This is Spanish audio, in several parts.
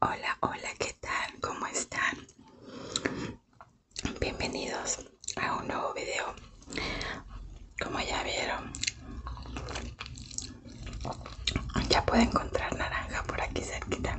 Hola, hola, ¿qué tal? ¿Cómo están? Bienvenidos a un nuevo video. Como ya vieron, ya puedo encontrar naranja por aquí cerquita.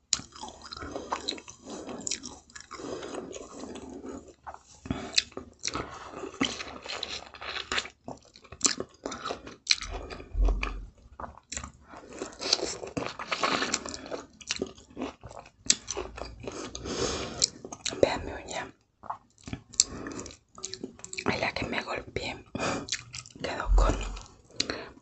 Vean mi uña. En la que me golpeé quedó con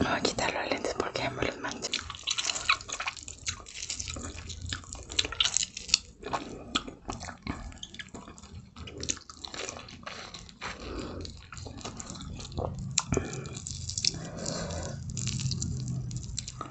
voy a quitar los lentes porque me los mancho.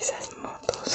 Esas motos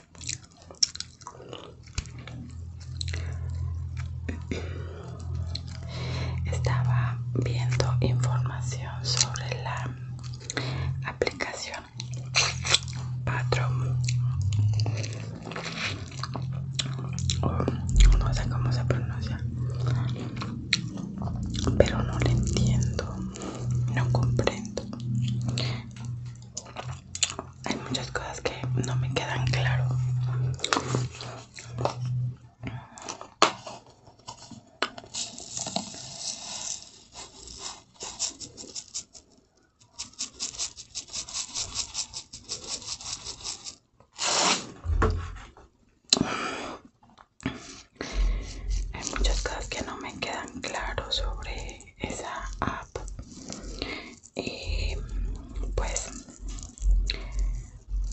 Estaba viendo información sobre la aplicación Patron. no sé cómo se pronuncia, pero no la entiendo, no comprendo hay muchas cosas que no me quedan claro hay muchas cosas que no me quedan claro sobre esa app y pues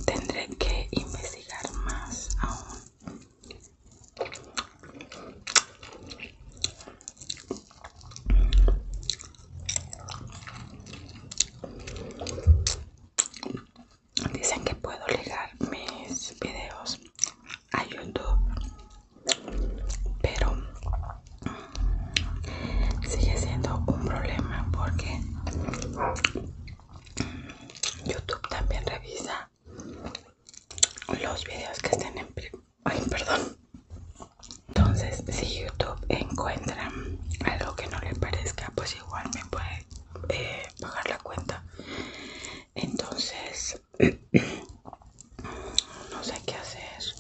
tendré que investigar más aún Dicen que puedo ligar mis videos a YouTube pero mm, sigue siendo un problema porque YouTube también revisa los videos que estén en ay perdón entonces si YouTube encuentra algo que no le parezca pues igual me puede eh, pagar bajar la cuenta entonces no sé qué hacer.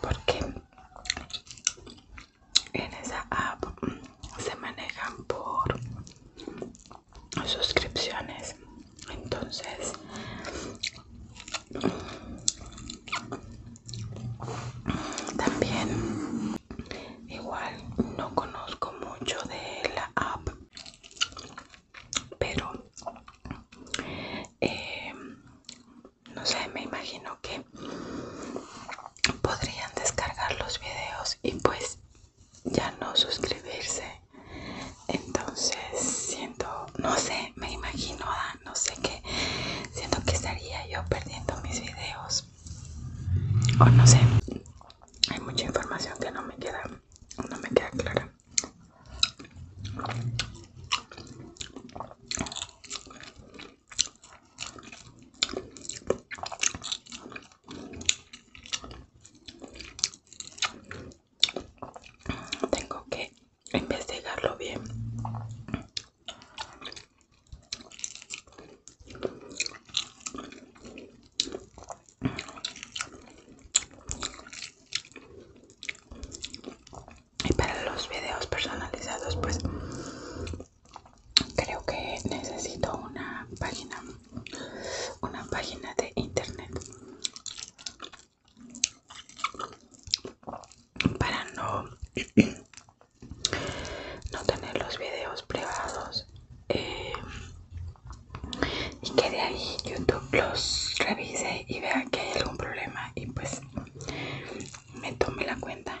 Porque en esa app se manejan por suscripciones entonces también igual no conozco mucho de la app pero eh, no sé me imagino que podrían descargar los videos y pues ya no suscribirse entonces siento no sé me imagino no sé qué siento que estaría yo perdiendo mis videos o no sé hay mucha información que no me queda no me queda clara tengo que investigarlo bien. Y para los videos personalizados, pues creo que necesito una página una página de internet para no no tener los videos privados eh, y que de ahí youtube los revise y vea que hay algún problema y pues me tome la cuenta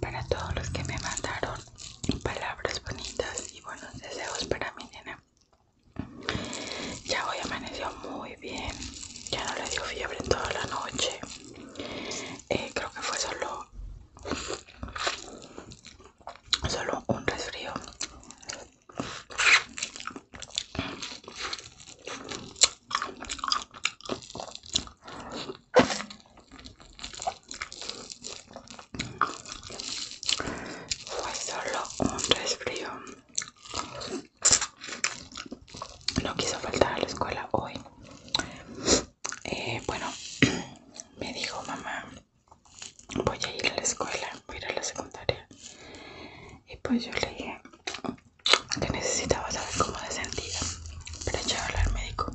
Para todos los que me mandaron palabras bonitas y buenos deseos para mi nena. Ya hoy amaneció muy bien. Ya no le dio fiebre en toda la noche. Eh, creo que fue solo solo un resfrío fue solo un resfrío no quiso faltar a la escuela hoy eh, bueno, me dijo mamá, voy a ir a la escuela, voy a ir a la secundaria. Y pues yo le dije que necesitaba saber cómo se sentía para hablar al médico.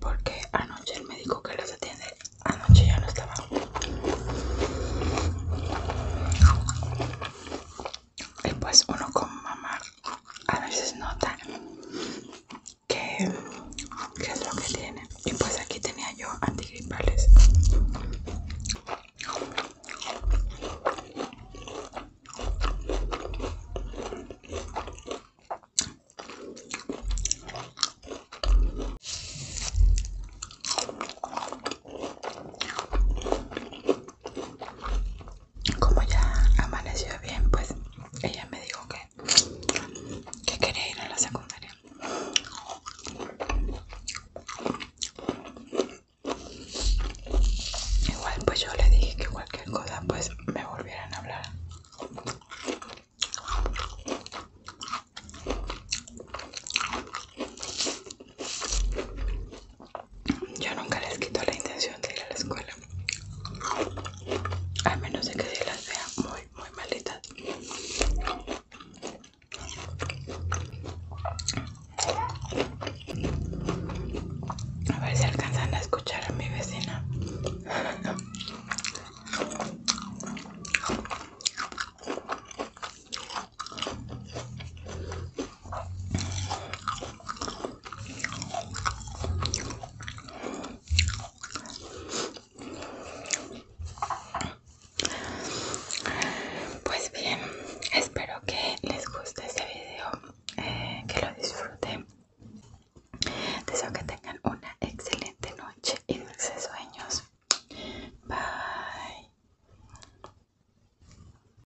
Porque anoche el médico que los atiende, anoche ya no estaba. Y pues uno con mamá a veces nota que es lo que tiene y pues aquí tenía yo antigripales como ya amaneció bien, pues ella me dijo que, quería ir a la secundaria. Igual pues yo le dije que cualquier cosa pues me volvieran a hablar. Yo nunca les quito la intención de ir a la escuela. A menos de que las vea muy, muy malitas. A ver si alcanzan a escuchar a mi vecina. Pues bien, espero que les guste este video, eh, que lo disfruten. Deseo que tengan una excelente noche y dulces sueños. Bye.